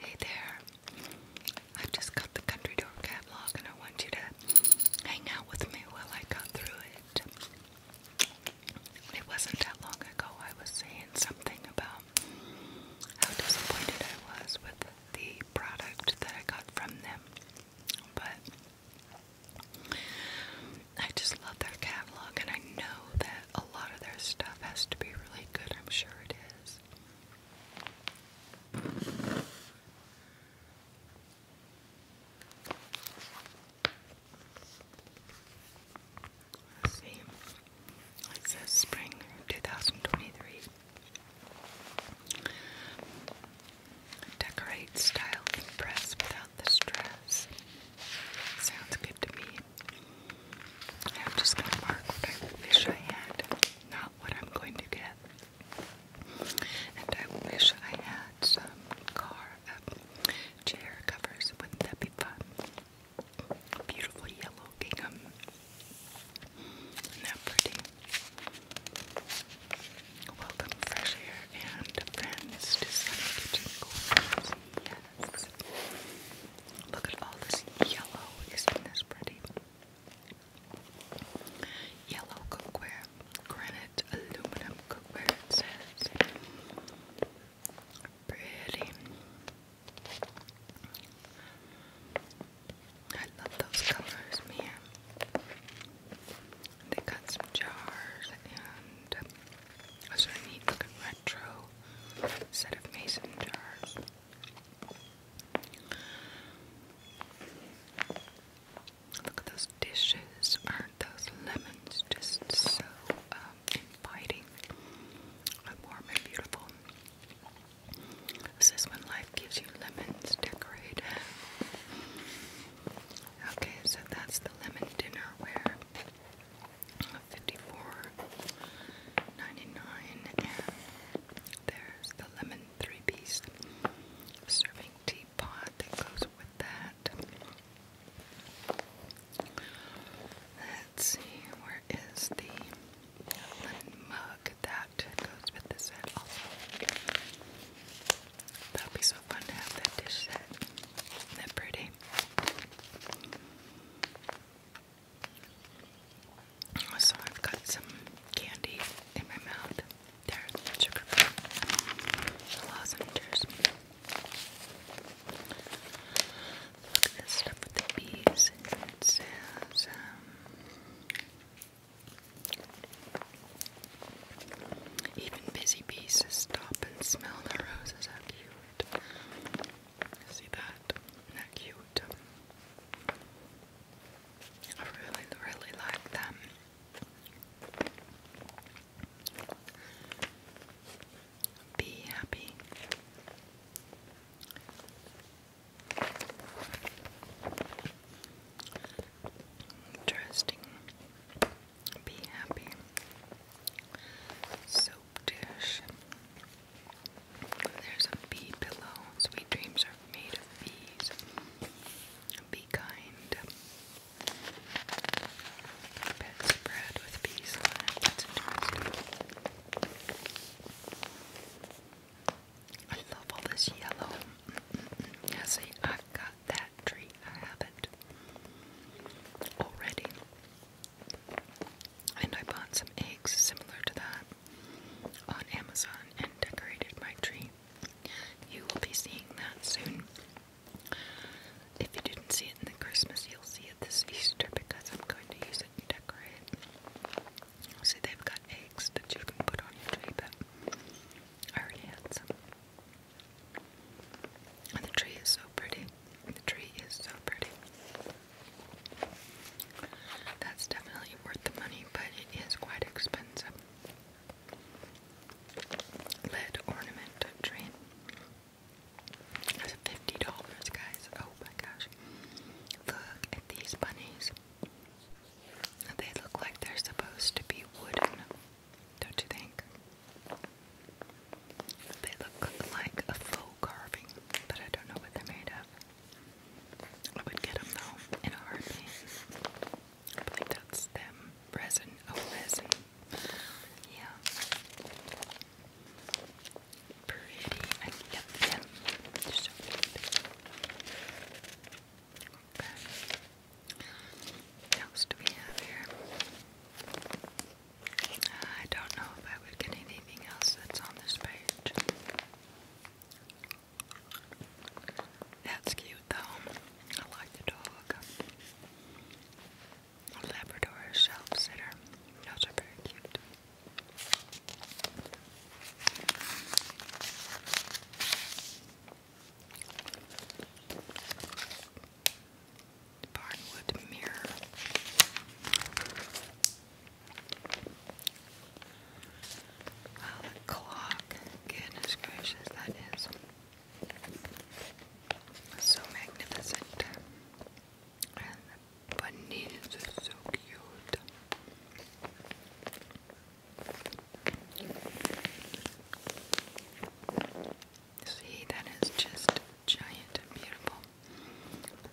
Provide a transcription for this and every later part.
Hey there. i just got the Country Door catalog and I want you to hang out with me while I go through it. It wasn't that long ago I was saying something about how disappointed I was with the product that I got from them. But I just love their catalog, and I know that a lot of their stuff has to be really good. I'm sure it see. It says spring 2023. Decorate, style, impress without the stress. Sounds good to me. I'm just going to mark what I wish I had, not what I'm going to get. And I wish I had some car uh, chair covers. Wouldn't that be fun? Beautiful yellow gingham. Isn't that pretty? Welcome fresh air and friends to Sunny Kitchen Corners. Yes. Look at all this yellow. Isn't this pretty? Yellow cookware. Granite aluminum cookware it says. Pretty. I love those colors, man. They got some jars and a sort of neat looking retro set of mason jars. Look at those dishes. Aren't those lemons just so um, inviting warm and beautiful? Says when life gives you lemons, decorate Okay, so that's the lemon dinnerware. 54 there's the lemon three-piece serving teapot that goes with that. Let's see, where is the lemon mug? That that goes with this set also. That would be so fun to have that dish set. Isn't that pretty? So I've got some candy in my mouth. There, sugar lozenges. Look at this stuff with the bees. It says, um, even busy bees stop and smell the roses. How cute! See that? Isn't cute? I really, really like them. Be happy. Interesting. Be happy. Soap dish. There's a bee pillow. Sweet dreams are made of bees. Be kind. Bed with bees on it. I love all this yellow. Now see, I've got that tree. I have it already. And I bought some eggs similar to that on Amazon and decorated my tree. You will be seeing that soon. If you didn't see it in the Christmas, you'll see it this Easter because I'm going to use it and decorate. See, they've got eggs that you can put on your tree, but I already had some. the tree is so pretty. The tree is so pretty. That's definitely worth the money, but it is quite expensive. Lead ornament tree. That's $50, guys. Oh my gosh. Look at these bunnies. They look like they're supposed to be wooden, don't you think? They look like a faux carving, but I don't know what they're made of. I would get them though in a heartbeat. I believe that's them. Resin, oh resin. Yeah. Pretty. I, yep, yep. so cute. Okay else do we have here? Uh, I don't know if I would get anything else that's on this page. That's cute though. I like the dog. Labrador shelf sitter. are very cute. Barnwood mirror. Wow, oh, the clock. Goodness gracious, that is so magnificent. And the bunnies are so cute. See, that is just giant and beautiful.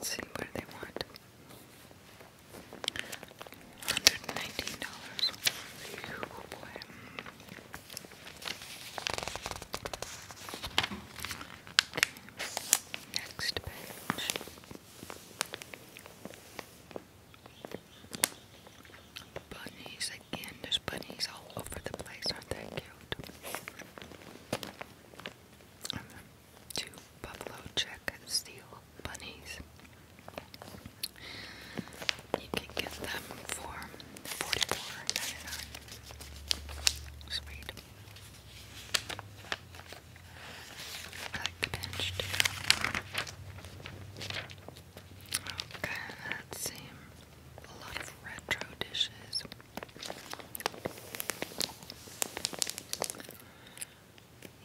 see what they want. $119. Oh boy. Next Bunnies again. There's bunnies all over the place. Aren't they cute? Um, two buffalo check steel bunnies. You can get them for 44 Sweet. like the Okay, let's see. A lot of retro dishes.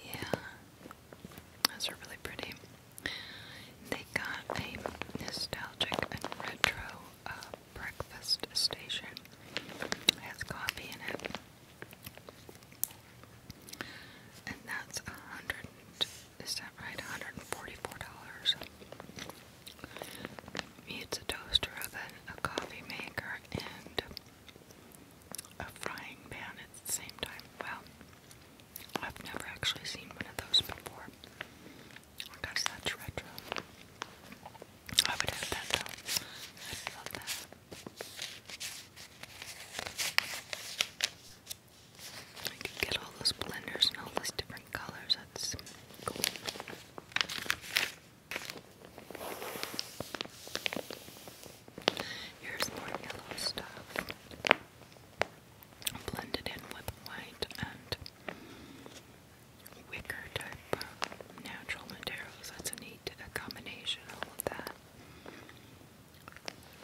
Yeah, those are really pretty. They got a nostalgic and retro uh, breakfast station. It has coffee in it. And that's a hundred is that right? hundred and forty-four dollars. It's a toaster oven, a coffee maker, and a frying pan at the same time. Well, I've never actually seen one of those before. I oh guess that's retro. I would have that though. i love that. I could get all those blenders and all those different colors. That's cool. Here's more yellow stuff blended in with white and wicker type natural materials. That's a neat combination, all of that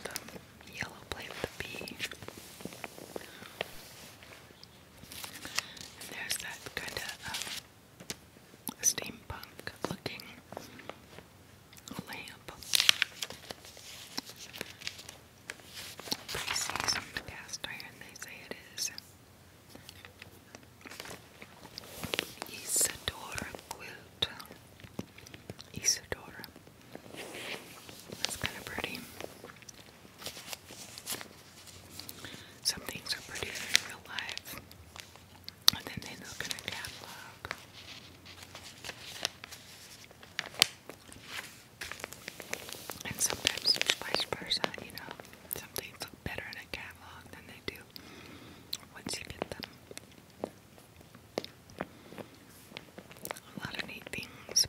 the yellow plate with the there's that kind of um, steampunk looking lamp. Pretty seasoned cast iron, they say it is. Isadora quilt. Isadora. That's kind of pretty. Some things are prettier in real life, and then they look in a catalog. And sometimes it's vice versa, you know. Some things look better in a catalog than they do once you get them. A lot of neat things.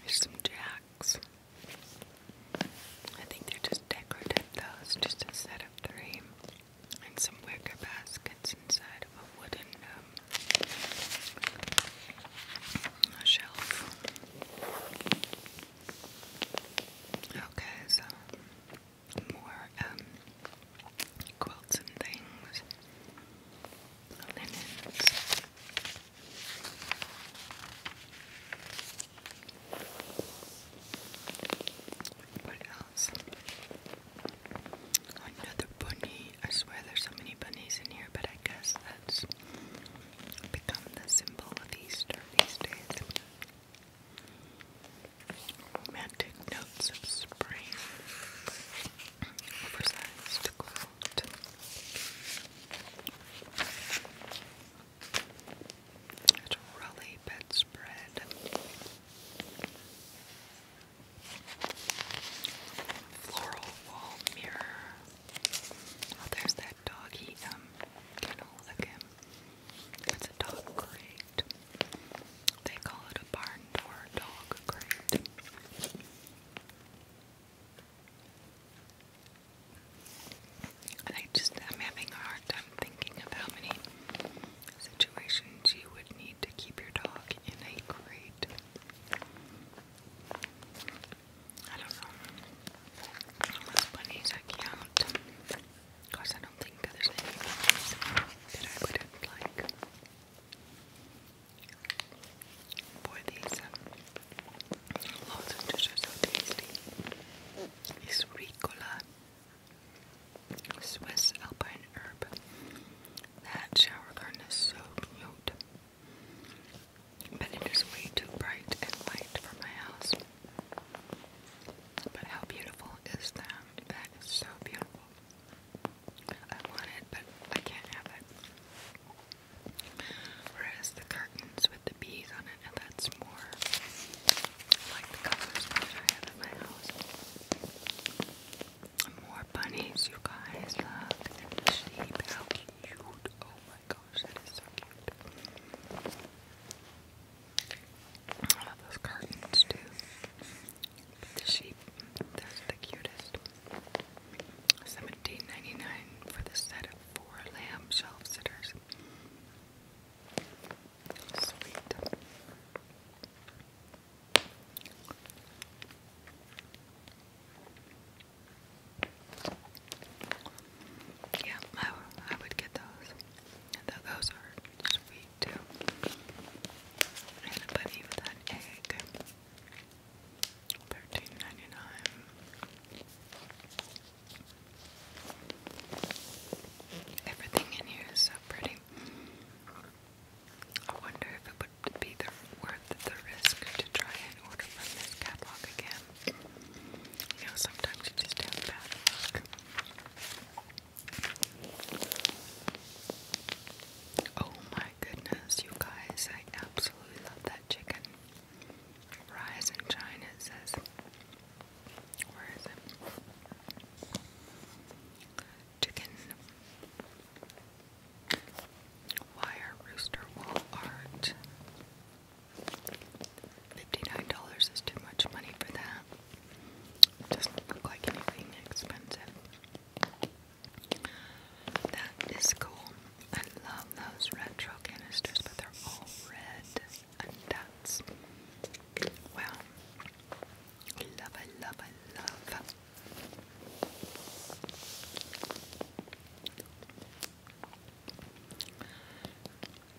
There's some jacks. I think they're just decorative, though. It's just a set of three. And some wicker baskets inside of a wooden um, shelf. Okay, so more um, quilts and things, linens. What else? Another bunny. I swear there's so many bunnies in here, but I guess that's become the symbol of Easter these days romantic notes of spring, oversized quilt. It's a bedspread. Floral wall mirror. Oh, there's that doggy um, kennel again. It's a dog crate. They call it a barn door dog crate. And I just am having a hard time thinking of how many situations you would need to keep your dog in a crate. I don't know. Unless bunnies count. Of I don't think that there's any bunnies that I wouldn't like. Boy, these um, lozenges are so tasty. It's Ricola, Swiss alpine herb. That shower curtain is so cute. But it is way too bright and white for my house. But how beautiful is that? That is so beautiful. I want it, but I can't have it. Whereas the curtains with the bees on it, that's more like the colors I have in my house. More bunnies, you guys. Look at the cute. Oh my gosh, that is so cute. love those curtains too. The sheep, that's the cutest. Seventeen ninety nine for the set of four lamb shelf sitters. Sweet. Yeah, I, I would get those. Those are sweet too. And a bunny with an egg. Thirteen ninety nine. Everything in here is so pretty. I wonder if it would be worth the risk to try and order from this catalog again. You know, sometimes you just have bad luck. Oh my goodness, you guys, I absolutely love that chicken. Rise in China, it says. Where is it? Chicken wire rooster wall art. $59 is too much money for that. Doesn't look like anything expensive. That is cool. I love those retro canisters, but they're all red. And that's wow. I love, I love, I love.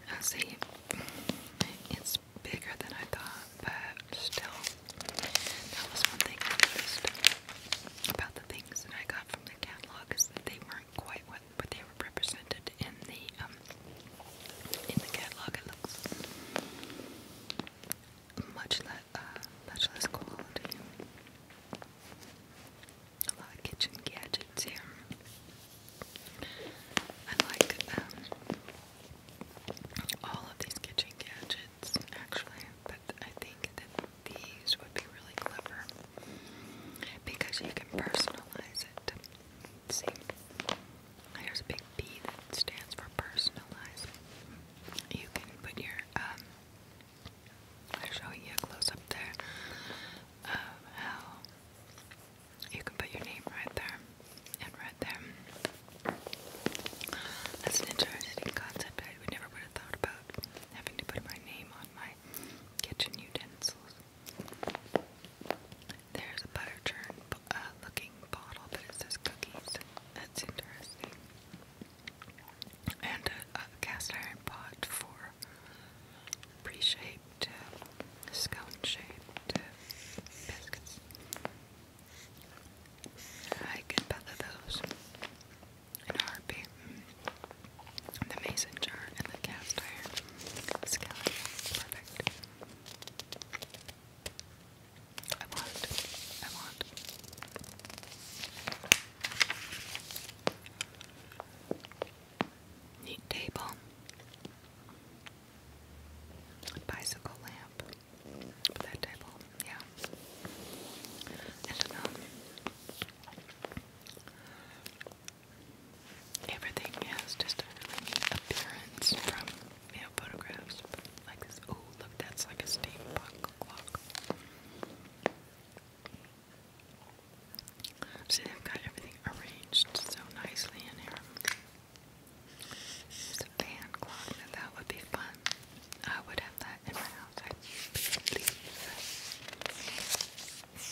I ah, see bigger than I thought, but still, that was one thing I noticed about the things that I got from the catalog is that they weren't quite what, what they were represented in the um, in the catalog. It looks much less uh, much less quality. A lot of kitchen gadgets here. I like um, all of these kitchen gadgets actually, but I think that these would be really clever because you can personalize it. See, there's a big P that stands for personalize. You can put your, um, i showing you a close up there of how you can put your name right there and read them. That's an interesting concept. I would never would have thought about having to put my name on my kitchen utensils. There's a butter churn uh, looking bottle, but it says cookies. That's interesting. And a, cast iron pot for pre-shaped, uh, scone-shaped uh, biscuits. I can feather those in Harpy. heartbeat. The mason jar and the cast iron skeleton. Perfect. I want. I want. Neat table. Bicycle lamp that table, yeah. And um, everything has just a appearance from you photographs, like this. Oh, look, that's like a steampunk clock. See, they've got everything arranged so nicely in here a fan that would be fun. I would have that in my house, I believe.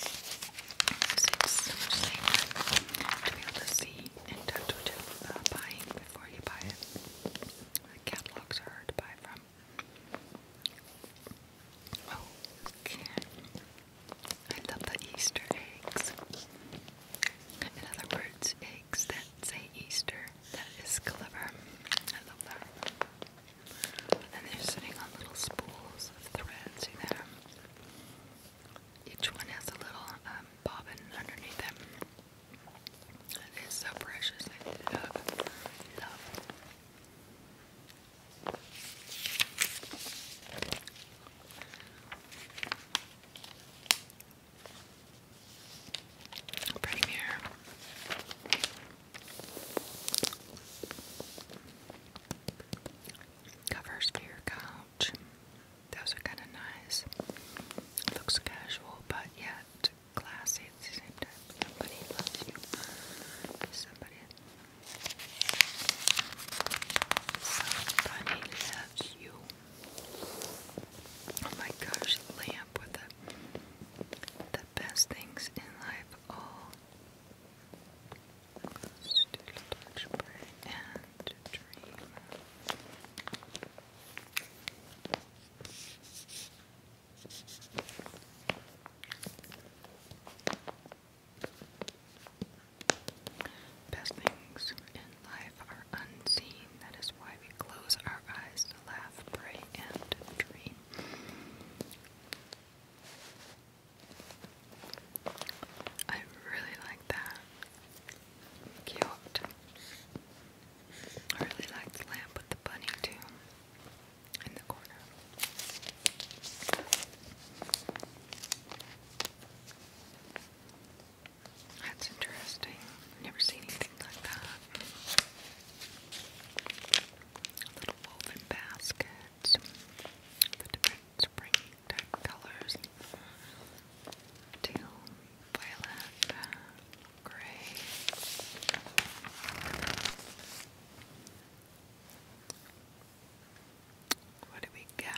to be able to see and touch what uh, buying before you buy it. The catalogs are hard to buy from. Oh, okay. I love the Easter eggs. In other words, a cakes that say Easter. That is clever. I love that. And they're sitting on little spools of thread. Each one has a little um, bobbin underneath them. It is so precious. Premier. Covers for your couch. Those are kind of nice. Looks casual, but yet classy at the same time. Somebody loves you. Somebody. Somebody loves you. Oh my gosh, lamp with the, the best things in life all touch, pray, and dream. Best things in life are unseen. That is why we close our eyes to laugh, pray, and dream. I really like that. Cute. I really like the lamp with the bunny too in the corner. That's interesting. Never seen anything like that. Little woven baskets, the different spring colors. Teal, violet, gray. What do we get?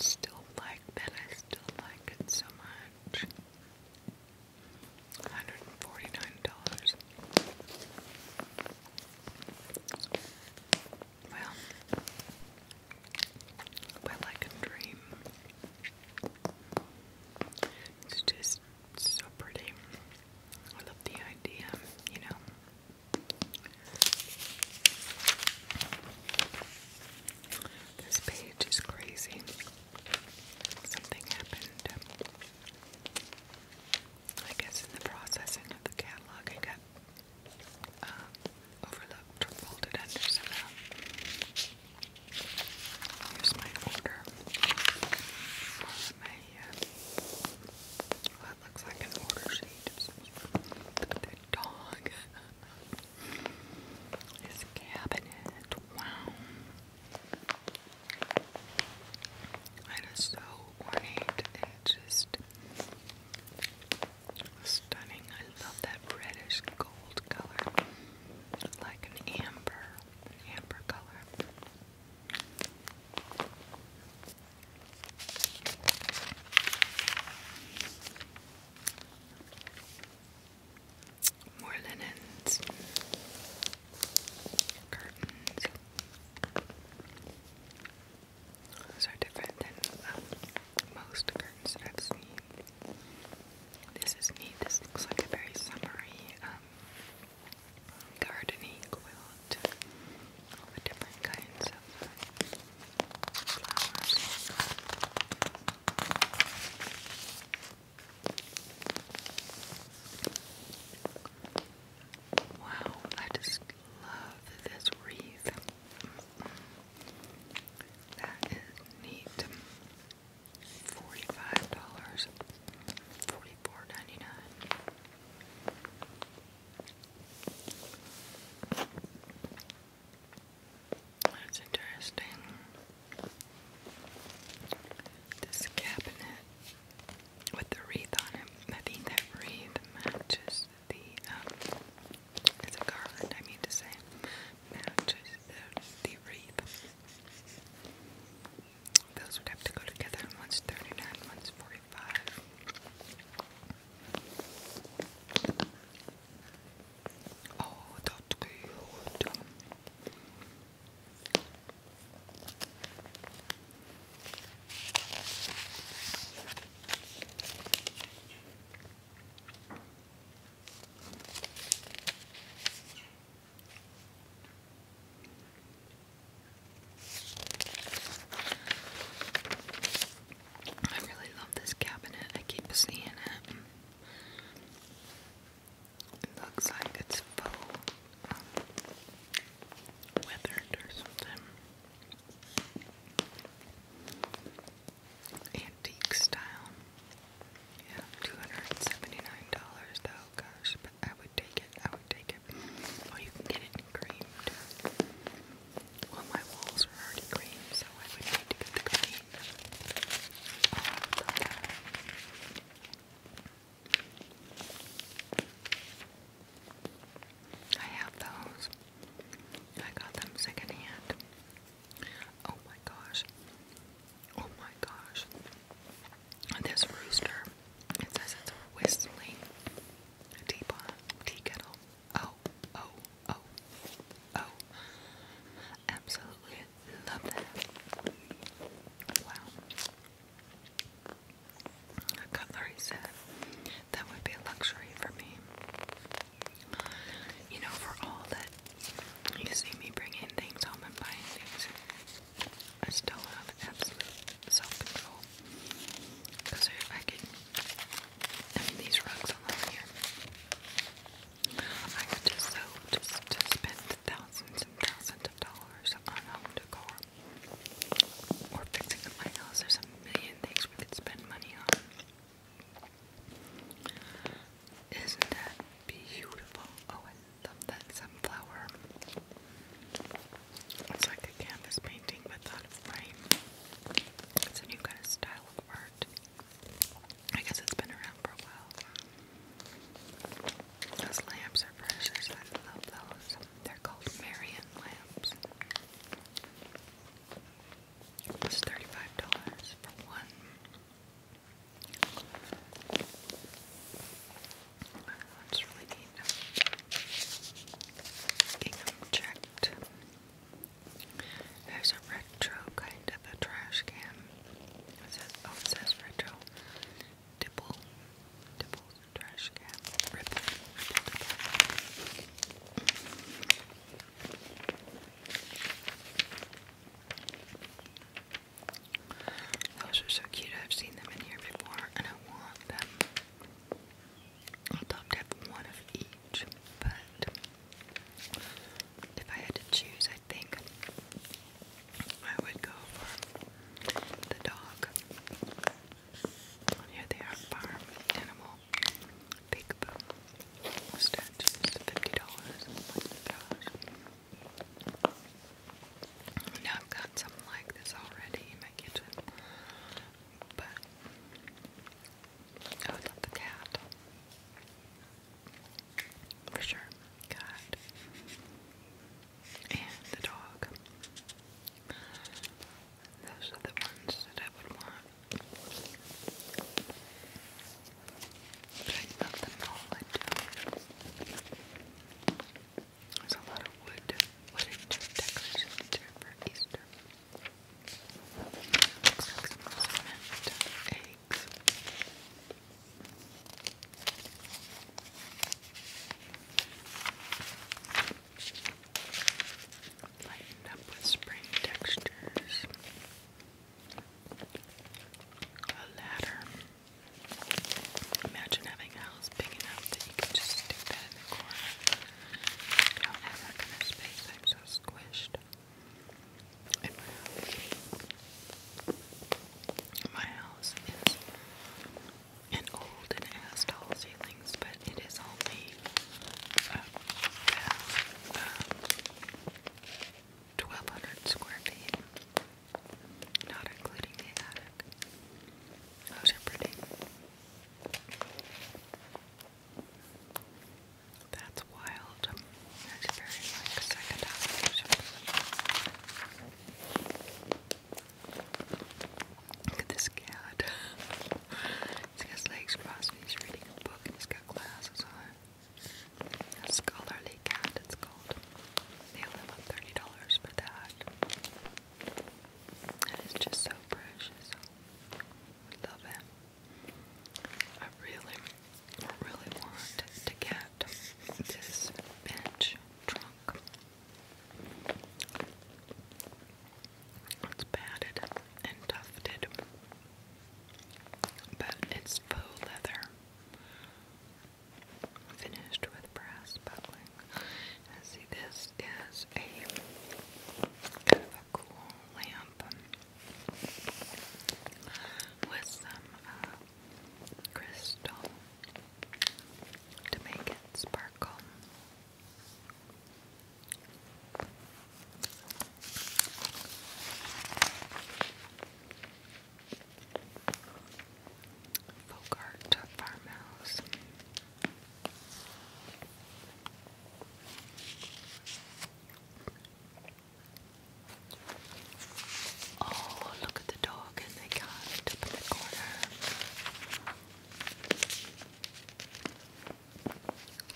Still like that, I still like it so much. $149. Well, but like a dream. It's just it's so pretty. I love the idea, you know. This page is crazy. Something happened. I guess in the processing of the catalog, I got uh, overlooked or folded under somehow. Here's my order. My, uh, that looks like an order sheet. Look dog. Uh, his cabinet. Wow. That is so ornate and just stunning. I love that reddish gold color. Like an amber amber color. More linens, curtains. Those different than um, most curtains I've seen. This is neat. This looks like a very summery, uh, gardening quilt all the different kinds of flowers. Wow, I just love this wreath. That is neat. Forty-five dollars, forty-four ninety-nine. That's interesting. This cabinet with the wreath on it. I think that wreath matches the um, it's a garland I mean to say matches the wreath. Those would have to go together. One's 39, one's 45. Oh, that's good. I really love this cabinet. I keep seeing it. looks like it's full weathered or something. Antique style. Yeah, two hundred and seventy-nine dollars though, gosh, but I would take it, I would take it. Or you can get it creamed. Well my walls are already creamed, so I would need to get the cream. I have those. I got them secondhand. Oh my gosh. Oh my gosh. This rooster, it says it's whistling Tea pot, tea kettle. Oh, oh, oh, oh. Absolutely love that. Wow. A cutlery set. That would be a luxury for me. You know, for all that you see me bringing things home and buying things, I still have absolute self-control. Because I could, I mean these rugs alone here, I could just so, just, spend thousands and thousands of dollars on home decor. Or fixing up my there's a million things we could spend money on. Isn't that beautiful? Oh, I love that sunflower. It's like a canvas painting without a frame. It's a new kind of style of art. I guess it's been around for a while. Those lamps are precious. I love those. They're called Marion lamps. It's $35 for one. That's really neat. There's a retro kind of a trash can. It says, oh, it says retro. Dipple. Dipple's trash can. Those are so cute. I've seen them in here before and I want them. I'd one of each, but if I had to choose, I think I would go for the dog. Here they are, farm animal. Big boom. Statues, $50. my gosh. Now I've got something like this already in my kitchen, but oh, I would love the cat for sure. God and the dog. Those are the ones that I would want. But I There's a lot of wood, wooden decorations for Easter. eggs. Lightened up with spring textures. A ladder. Imagine having a house big enough that you can just stick that in the corner. I don't have that kind of space. I'm so squished in my house. My house is an old and it has tall ceilings, but it is only uh, about um, 1,200 square feet not including the attic. Those are pretty. That's wild. That's very like second Look at this cat. It's got his legs crossed he's reading a book he's got glasses on. A scholarly cat, it's called. They only want thirty dollars for that. That is just so precious. I love it. I really, really want to get this bench trunk. It's padded and tufted, but it's faux leather finished with brass buckling. see, this is a kind of a cool lamp with some uh, crystal to make it sparkle. Bogart Farmhouse. Oh, look at the dog, and they got it up in the corner.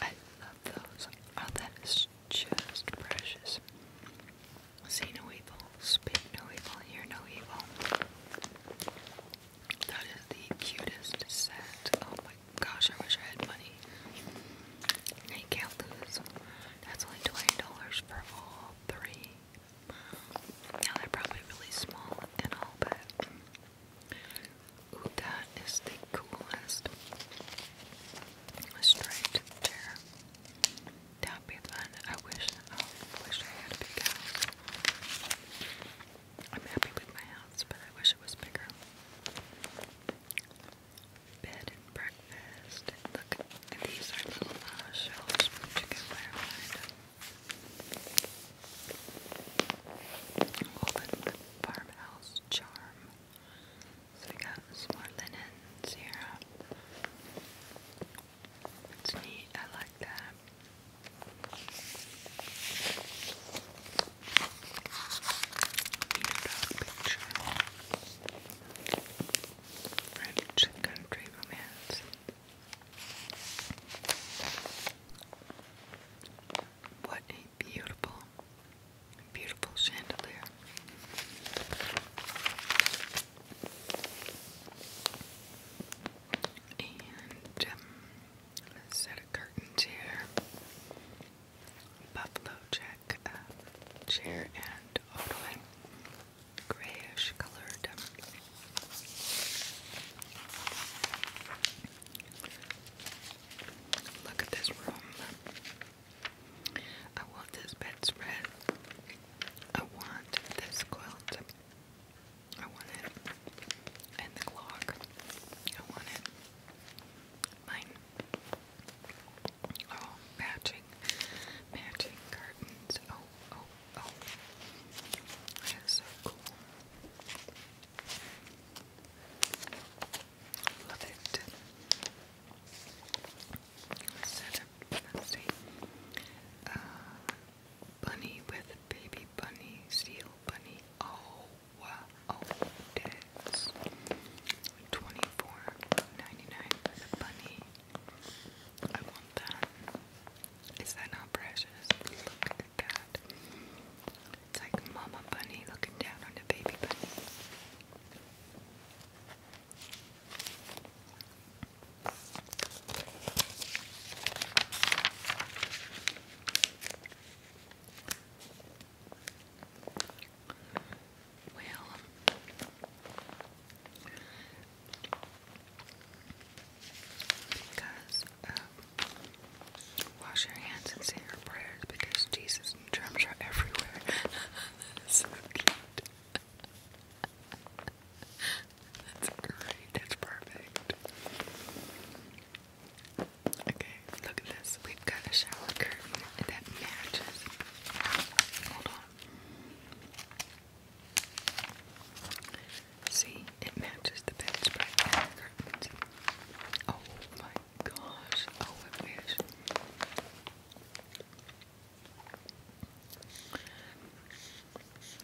I love those. Oh, that is just precious. See no evil, speak no evil, hear no evil. That is the cutest set. Oh my gosh, I wish I had money. And can't lose. That's only $20 for all three. Now they're probably really small and all, but ooh, that is the coolest striped chair. That would be fun. I wish, I wish I had a big house. I'm happy with my house, but I wish it was bigger. Bed and breakfast. Look, these are little shelves which you can wear farmhouse charm. So we got more linens here. It's neat, I like that. picture. French country romance. What a beautiful, beautiful chandelier. Um, set a curtain chair. Buffalo Jack uh, chair and Ottoman grayish colored. Um. Look at this room. I want this bedspread. I want this quilt. I want it. And the clock. I want it. Mine. Oh, matching. Matching curtains. Oh, oh, oh. That is so cool. Love it setup. Let's uh, bunny with baby bunny, seal bunny. Oh, wow. Oh, that's twenty-four ninety-nine with bunny. I want that. Is that not precious? Look at that. It's like Mama Bunny looking down on the baby bunny. Well, guys, um, wash your hands and say your prayers because Jesus and are everywhere. that is so cute. That's great, that's perfect. Okay, look at this. We've got a shower curtain that matches. Hold on. See, it matches the bed and the curtains. Oh my gosh. Oh, I wish.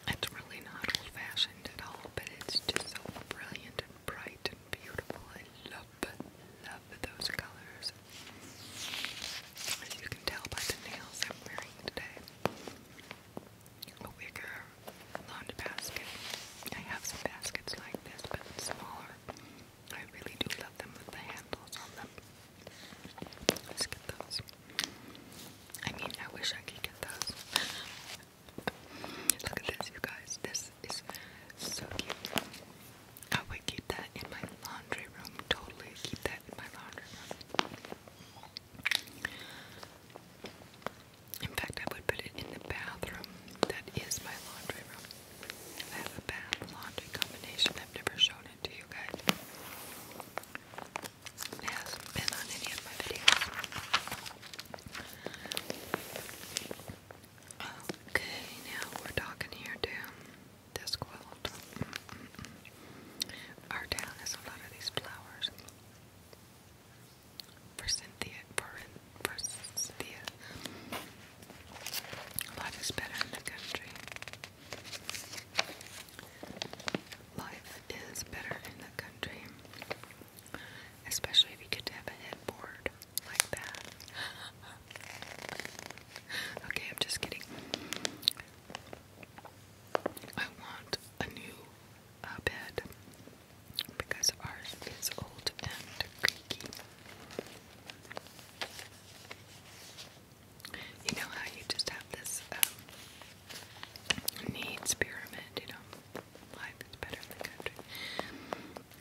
It's really not old fashioned at all, but it's just so brilliant and bright and beautiful. I love, love those colors. As you can tell by the nails I'm wearing today, a wicker laundry basket. I have some baskets like this, but smaller. I really do love them with the handles on them. Let's get those. I mean, I wish I could get those. Look at this, you guys. This is so cute. I would keep that in my laundry room. Totally keep that in my laundry room. In fact, I would put it in the bathroom. That is my laundry room. I a bath laundry combination I've never shown it you guys. It been on any of my videos. Okay, now we're talking here to this Our town has a of these flowers. For Cynthia, for, is better in the country. Life is better in the country, especially if you get to have a headboard like that. okay, I'm just kidding. I want a new uh, bed because ours is old and creaky. You know how you just have this um, needs pyramid, you know? Life is better in the country.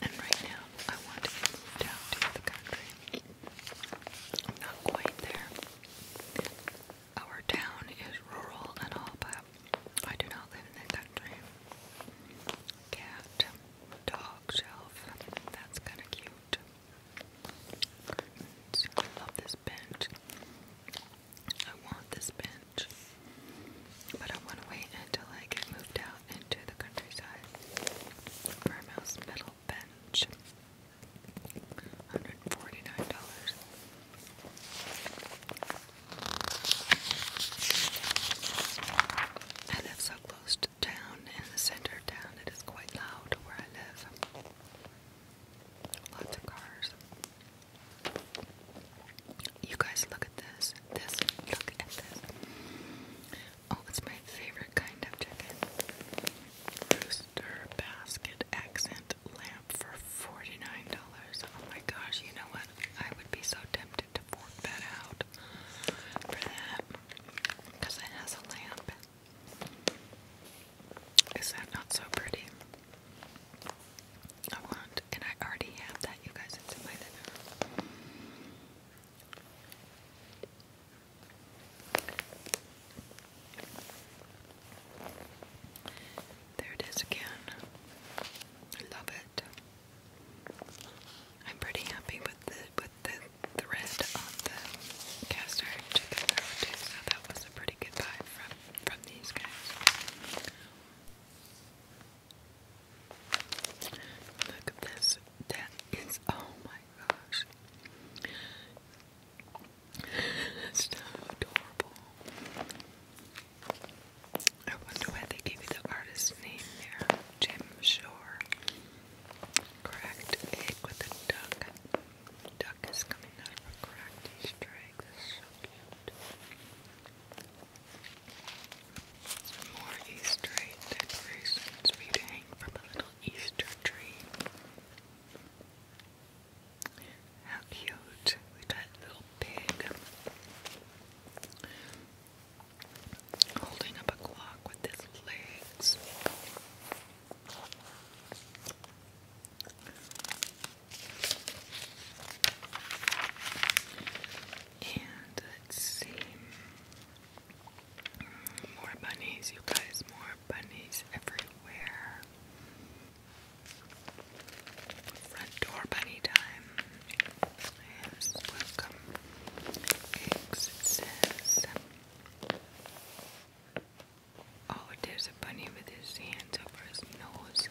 And right now, I want to get moved out to the country. I'm not quite there. Our town is rural and all, but I do not live in the country. Cat, dog shelf, that's kind of cute. I love this bench. I want this bench. But I want to wait until I get moved out into the countryside. Farmhouse metal bench. $149. I live so close most town in the center of town it is quite loud where I live. Lots of cars. You guys look at this. This look at this. Oh, it's my favorite kind of chicken. Rooster basket accent lamp for $49. Oh my gosh, you know what? I would be so tempted to fork that out for that. Because it has a lamp. Is that not so pretty? I want, and I already have that, you guys. It's in my There it is again. I love it. I'm pretty happy with the with the thread on the cast iron chicken throw so that was a pretty good buy from from these guys. Look at this. That is oh my gosh. That's so adorable. I wonder why they gave you the artist's name there. Jim Shore. Cracked egg with a duck. Duck is coming out of cracked Easter egg. so cute. more Easter decorations for to hang from a little Easter tree. How cute. We got little pig holding up a clock with his legs. And let's see. More bunnies, you guys, more bunnies everywhere. Front door bunny time. welcome. Eggs, it says. Oh, there's a bunny with his hands over his nose.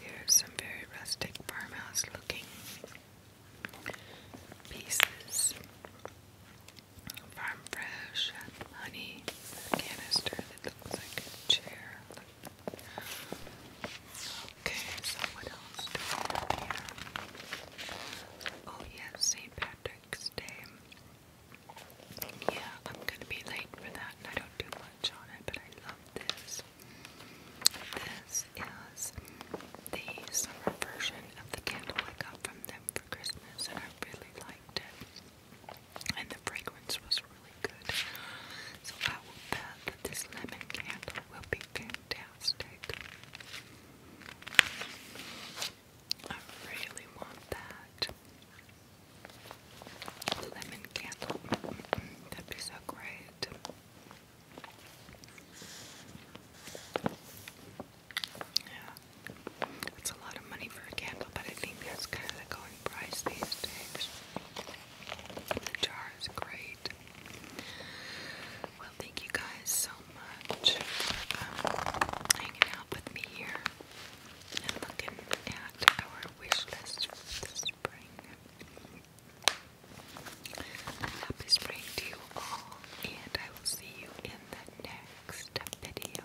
Here's some very rustic farmhouse looking pieces. Farm Fresh honey canister that looks like a chair. Okay, so what else do we have here? Oh yes, St. Patrick's Day. Yeah, I'm gonna be late for that and I don't do much on it, but I love this. This is the summer version of the candle I got from them for Christmas and I really liked it and the fragrance was really good. So I bet this lemon candle will be fantastic. I really want that. Lemon candle. That'd be so great. Yeah. That's a lot of money for a candle, but I think that's kind of the going price these days. The jar is great. Well, thank you guys so much um, hanging out with me here and looking at our wish list for the spring. Happy spring to you all, and I will see you in the next video.